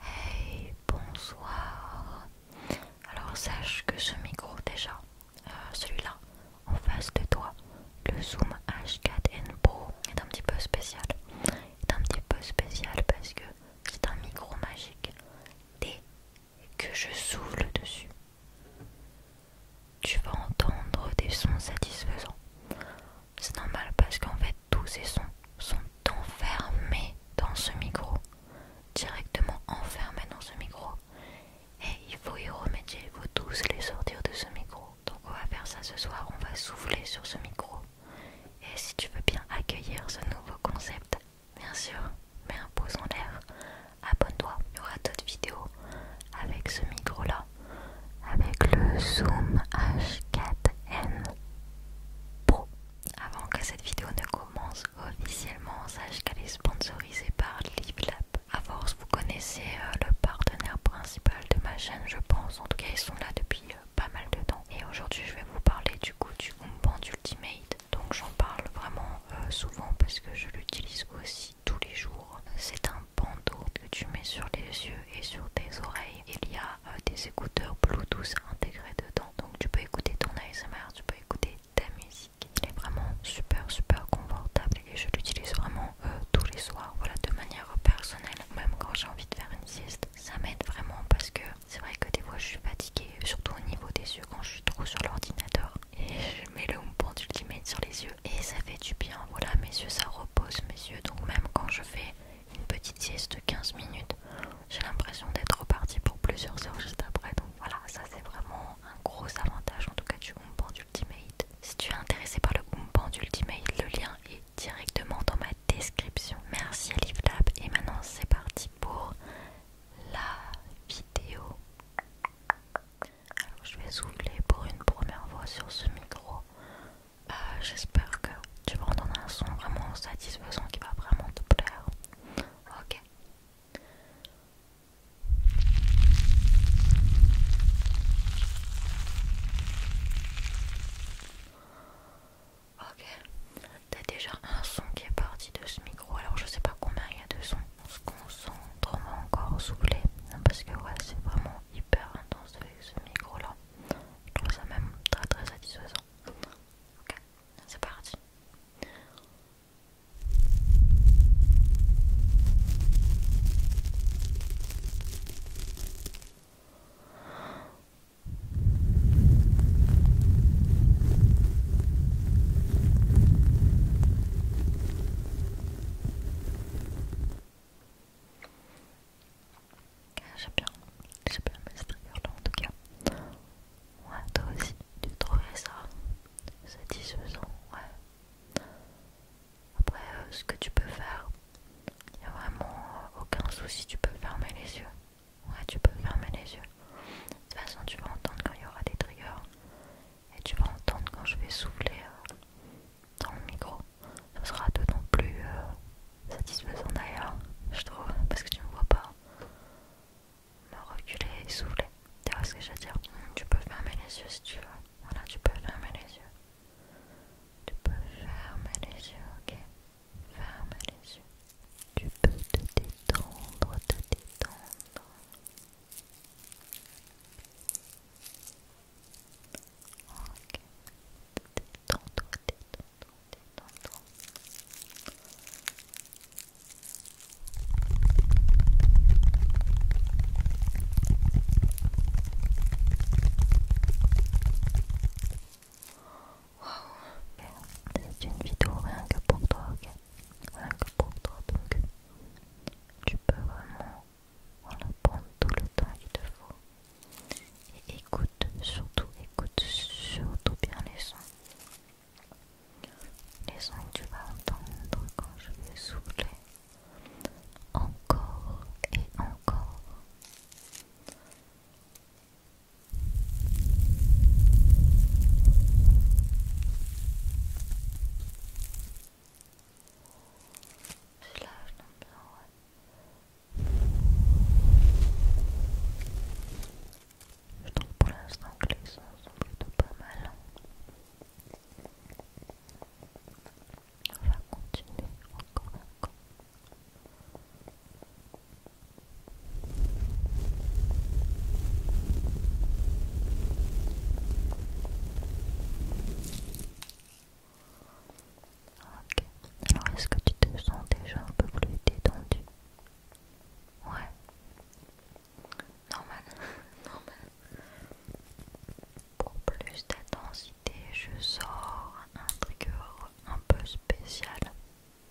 Hey, bonsoir. Alors sache que ce micro déjà, euh, celui-là, en face de toi, le Zoom H4n Pro est un petit peu spécial. Est un petit peu spécial parce que c'est un micro magique. Dès que je souffle dessus, tu vas entendre des sons satisfaisants. C'est normal parce qu'en fait tous ces sons sont enfermés dans ce micro, directement enfermés dans ce micro. Et il faut y remédier, il tous les sortir de ce micro. Donc on va faire ça ce soir, on va souffler sur ce micro. Et si tu veux bien accueillir ce nouveau concept, bien sûr, mets un pouce en l'air, abonne-toi, il y aura d'autres vidéos avec ce micro-là, avec le Zoom H4N Pro avant que cette vidéo ne commence officiellement, sache qu'elle est sponsorisée par Livlap. A force, vous connaissez euh, le partenaire principal de ma chaîne, je pense. En tout cas, ils sont là depuis euh, pas mal de temps. Et aujourd'hui, je vais vous parler du coup du Umband Ultimate. Donc, j'en parle vraiment euh, souvent parce que je l'utilise aussi tous les jours. C'est un bandeau que tu mets sur les yeux et sur tes oreilles il y a euh, des écouteurs Bluetooth intégrés dedans. Donc tu peux écouter ton ASMR, tu peux écouter ta musique. Il est vraiment super super confortable et je l'utilise vraiment euh, tous les soirs. Voilà, de manière personnelle. Même quand j'ai envie de faire une sieste, ça m'aide vraiment parce que c'est vrai que des fois je suis fatiguée, surtout au niveau des yeux quand je suis trop sur l'ordinateur. Et je mets le bon Ultimate sur les yeux et ça fait du bien. Voilà, mes yeux ça repose mes yeux. Donc même quand je fais une petite sieste de 15 minutes. J'ai l'impression d'être reparti pour plusieurs heures juste après. Donc voilà, ça c'est vraiment un gros avantage en tout cas du Umpan Ultimate. Si tu es intéressé par le Umpan Ultimate, le lien est directement dans ma description. Merci Lab et maintenant c'est parti pour la vidéo. Alors, je vais souffler pour une première fois sur ce micro euh, j'espère que tu vas entendre un son vraiment satisfaisant qui va vraiment te plaire. Ok. Ok. T'as déjà un son qui est parti de ce micro, alors je sais pas combien il y a de sons. On se concentre, encore Parce que ouais, c'est vraiment hyper intense avec ce micro là. Je trouve ça même très très satisfaisant. Ok, c'est parti. J'aime bien, j'aime bien ce triggers là en tout cas. Ouais, toi aussi, tu trouvais ça satisfaisant, ouais. Après, euh, ce que tu peux faire, il n'y a vraiment euh, aucun souci, tu peux fermer les yeux. Ouais, tu peux fermer les yeux. De toute façon, tu vas entendre quand il y aura des triggers. Et tu vas entendre quand je vais souffler euh, dans le micro. Ce sera non plus euh, satisfaisant d'ailleurs, je trouve, parce que tu ne me vois pas me reculer et souffler. Tu vois ce que je veux dire Tu peux fermer les yeux si tu veux. Voilà, tu peux fermer les yeux. Tu peux fermer les yeux, ok Fermer les yeux. Tu peux te détendre, te détendre. Ok. Détends-toi, détends-toi, détends-toi. Wow. C'est une vidéo rien que pour toi, ok Rien que pour toi, donc tu peux vraiment on tout le temps qu'il te faut. Et écoute, surtout, écoute surtout bien les sons. Les sons que tu vas entendre quand je vais souffler. Encore et encore. Je trouve pour l'instant que les sons sont plutôt pas mal. On va continuer encore encore. Ok, alors est-ce que tu te sens déjà un peu plus détendu Ouais. Normal, normal. Pour plus d'intensité, je sors un trigger un peu spécial.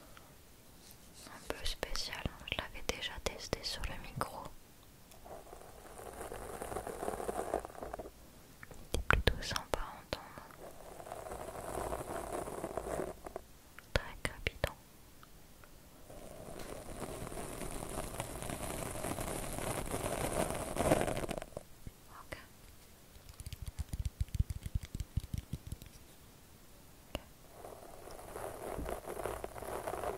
Un peu spécial, je l'avais déjà testé sur le micro. C'est plutôt sympa à entendre. Très crépitant. Okay. Okay.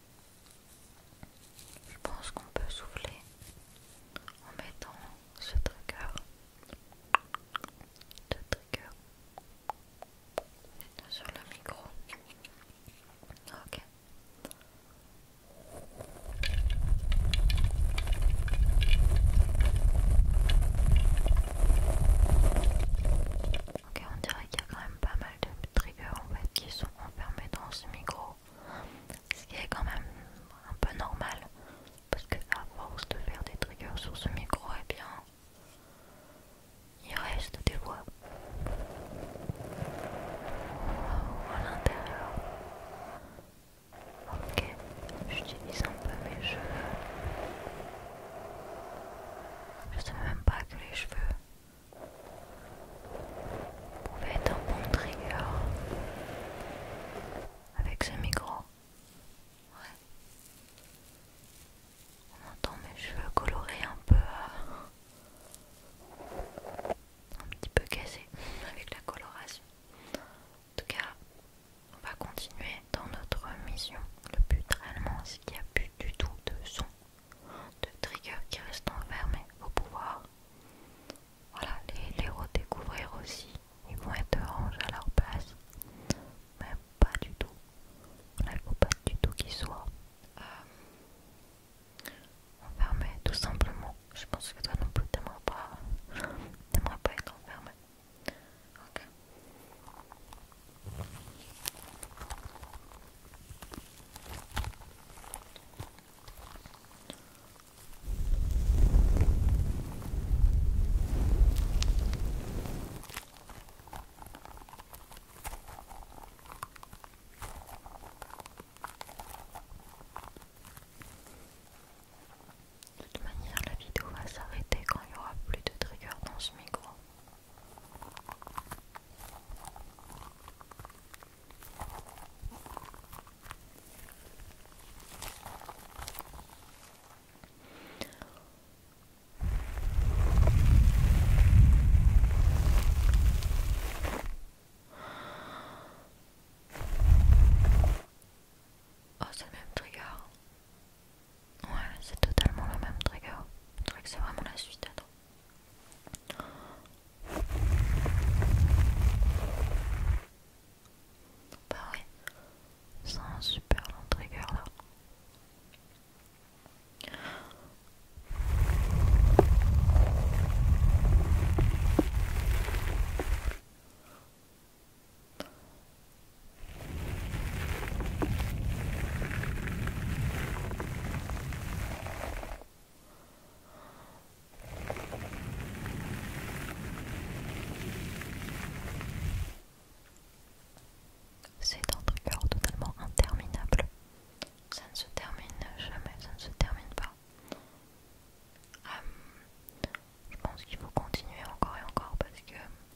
Je pense qu'on peut souffler en mettant ce trigger, sur le micro. Ok, on dirait qu'il y a quand même pas mal de triggers en fait qui sont enfermés dans ce micro. Ce qui est quand même un peu normal. Parce que à force de faire des triggers sur ce micro, et eh bien il reste des voix à l'intérieur. Ok, j'utilise un peu mes cheveux je ne savais même pas que les cheveux pouvaient être un bon trigger avec ce micro. On entend mes cheveux colorés un peu. Euh, un petit peu cassés avec la coloration. En tout cas, on va continuer dans notre mission. Le but réellement il qu'il n'y a plus du tout de son de trigger qui reste enfermé au pouvoir. Voilà, les, redécouvrir aussi, ils vont être orange à leur place, mais pas du tout. il il faut pas du tout qu'ils soient euh, enfermés, tout simplement. Je pense que toi non plus, t'aimerais pas, pas être enfermé. De toute manière, la vidéo va s'arrêter quand il n'y aura plus de trigger dans ce micro. Oh, c'est le même trigger. Ouais, c'est totalement le même trigger. vrai que c'est vraiment la suite. Attends. Bah oui, c'est un super long trigger là. C'est un truc totalement interminable. Ça ne se termine jamais, ça ne se termine pas. Euh, je pense qu'il faut continuer encore et encore parce que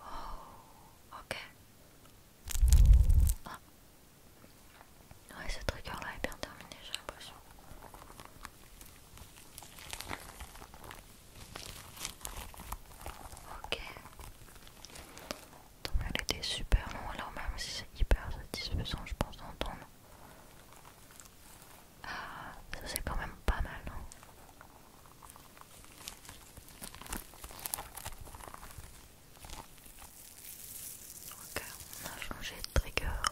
Oh, ok. Ah. Ouais, ce trigger-là est bien terminé, j'ai l'impression. Ok. Donc elle était super longue, alors même si c'est hyper satisfaisant, je pense, d'entendre ah, ça c'est quand même pas mal, non Ok, on a changé de trigger.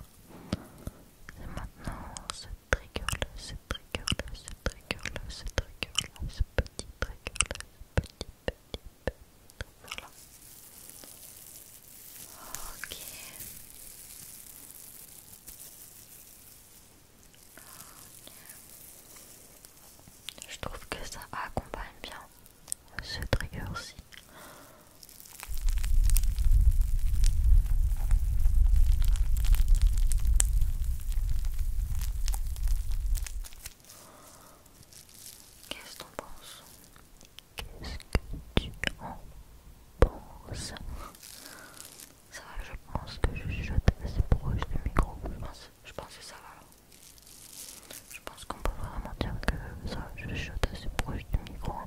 Et maintenant, ce trigger-là, ce trigger-là, ce trigger-là, ce trigger-là, ce petit trigger-là, ce petit, petit, petit. Voilà. Ok. Je trouve que ça accompagne bien ce trigger-ci. Qu'est-ce qu'on pense Qu'est-ce que tu en penses Ça je pense que je chuchote assez proche du micro. Je pense, que ça va. Je pense qu'on peut vraiment dire que ça, je chuchote assez proche du micro. Hein.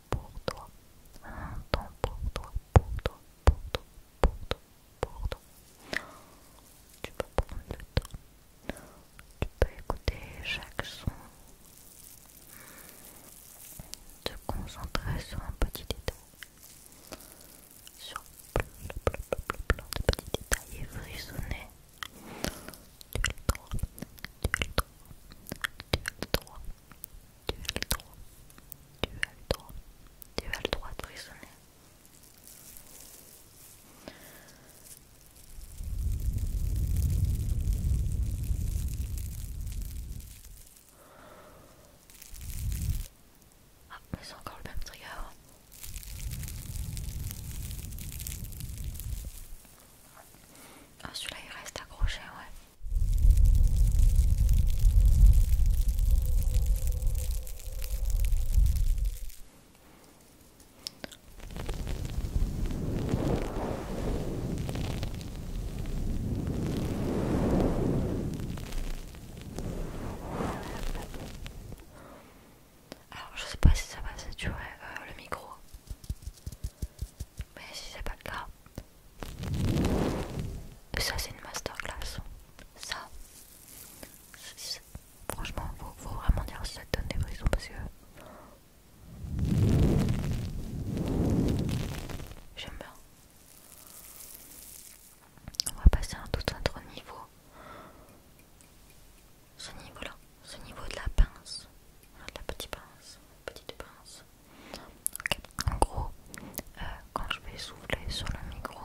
pour toi, un temps pour toi, pour toi, pour toi, pour toi, pour toi. Tu peux prendre le temps, tu peux écouter chaque son, te concentrer sur un petit détail, sur plein, de petits détails et frissonner. le tu tu as le droit. Tu as le droit. Tu as le droit de prisonnier. Ah, mais c'est encore le même trigger. Ah, celui-là il reste accroché, ouais. Alors je sais pas si ça va tu vois euh, le micro. Mais si c'est pas le cas. Ça, c'est une masterclass. Ça, franchement, faut, vraiment dire si ça donne des brisons, parce que j'aime bien. On va passer à un tout autre niveau. Ce niveau-là, ce niveau de la pince, de la petite pince, petite pince. En gros, euh, quand je vais souffler sur le micro,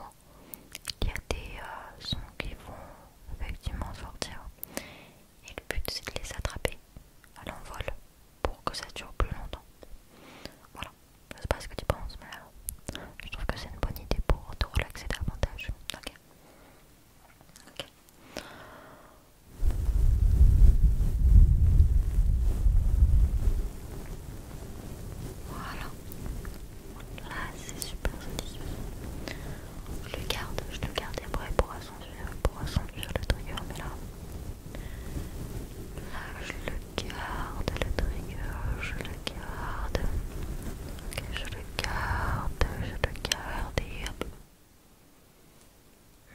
il y a des euh, sons qui vont effectivement sortir. Et le but c'est de les attraper à l'envol pour que ça dure plus longtemps. Voilà, je sais pas ce que tu penses, mais euh, je trouve que c'est une bonne idée pour te relaxer davantage. Voilà. Là, c'est super Je le garde, je le garde après pour assentir, pour le trigger, mais là, là, je le garde, le trigger, je le garde. Ok, je le garde, je le garde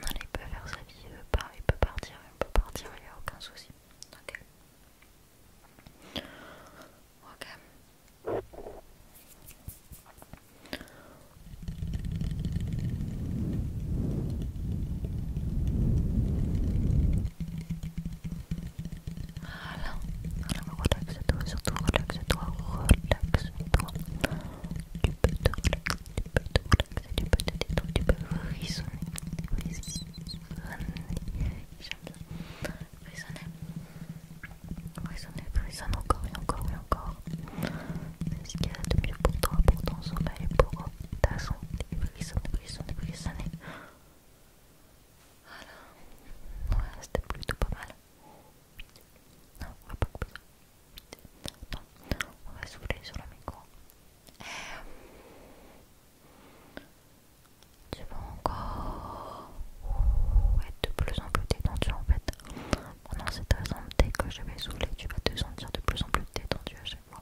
non, il peut faire sa vie, il veut peut partir, il peut partir, il n'y a aucun souci. Ok. Ok. Voilà, alors relaxe-toi, surtout relaxe-toi, relaxe-toi. Tu peux te relaxer, tu peux te relaxer, tu peux te détendre, tu peux frissonner, frissonner, j'aime bien, frissonner, frissonner, encore et encore et encore, c'est ce qu'il y a de mieux pour toi, pour ton sommeil, pour ta santé, frissonne, frissonne, frissonne, voilà, ouais, c'était plutôt pas mal on va souffler sur le micro. Euh, tu vas encore être de plus en plus détendu en fait. Pendant cette raison, que je vais souffler, tu vas te sentir de plus en plus détendu à chaque fois.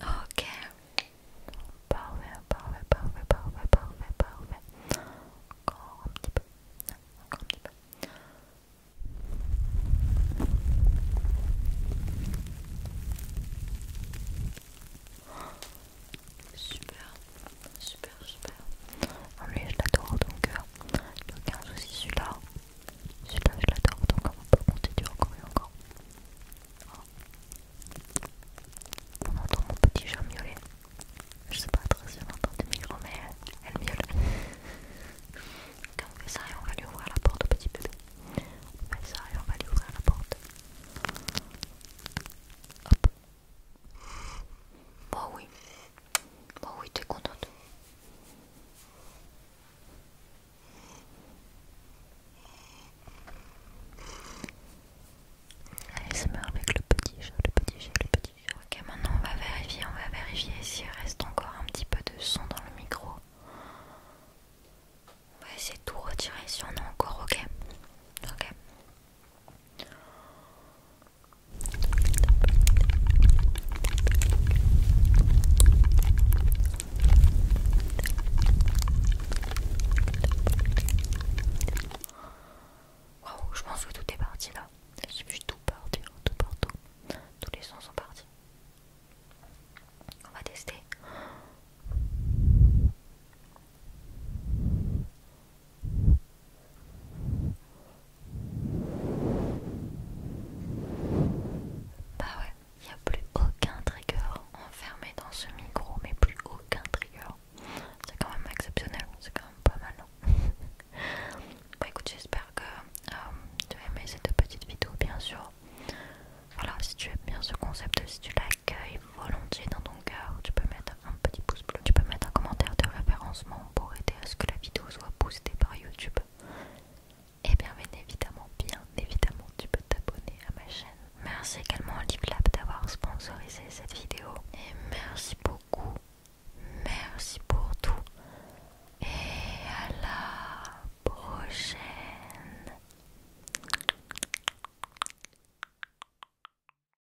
Ok. Parfait, parfait, parfait, parfait, parfait, parfait. Encore un petit peu. Encore un petit peu. Super, super, Super, super, En je l'adore, donc cœur. Euh, il n'y a aucun souci. Celui-là, celui-là, je l'adore, donc on peut continuer encore et ah. encore. On entend mon petit chat miauler. Je sais pas très si on entend des micro mais elle, miaule. Quand on fait ça, et on va lui ouvrir la porte au petit bébé. On fait ça et on va lui ouvrir la porte. Hop. Bon, oui, Oh oui, t'es contente. Allez, se meurt avec le petit chat, le petit chat, le petit chat. Ok, maintenant on va vérifier, on va vérifier s'il reste encore un petit peu de son dans le micro. On va essayer de tout retirer si on a encore, ok Ok je pense que tout est parti là. J'ai vu tout partir, tout partout. Tous les sons sont partis. On va tester. Bah ouais, il n'y a plus aucun trigger enfermé dans ce micro, mais plus aucun trigger. C'est quand même exceptionnel, c'est quand même pas mal. Hein. bah écoute, j'espère que euh, tu as aimé cette petite vidéo, bien sûr. Voilà, si tu aimes bien ce concept, si tu l'accueilles volontiers dans ton tu peux mettre un petit pouce bleu, tu peux mettre un commentaire de référencement pour aider à ce que la vidéo soit boostée par YouTube. Et eh bien, évidemment, bien évidemment, tu peux t'abonner à ma chaîne. Merci également à Lab d'avoir sponsorisé cette vidéo. Et merci beaucoup, merci pour tout. Et à la prochaine.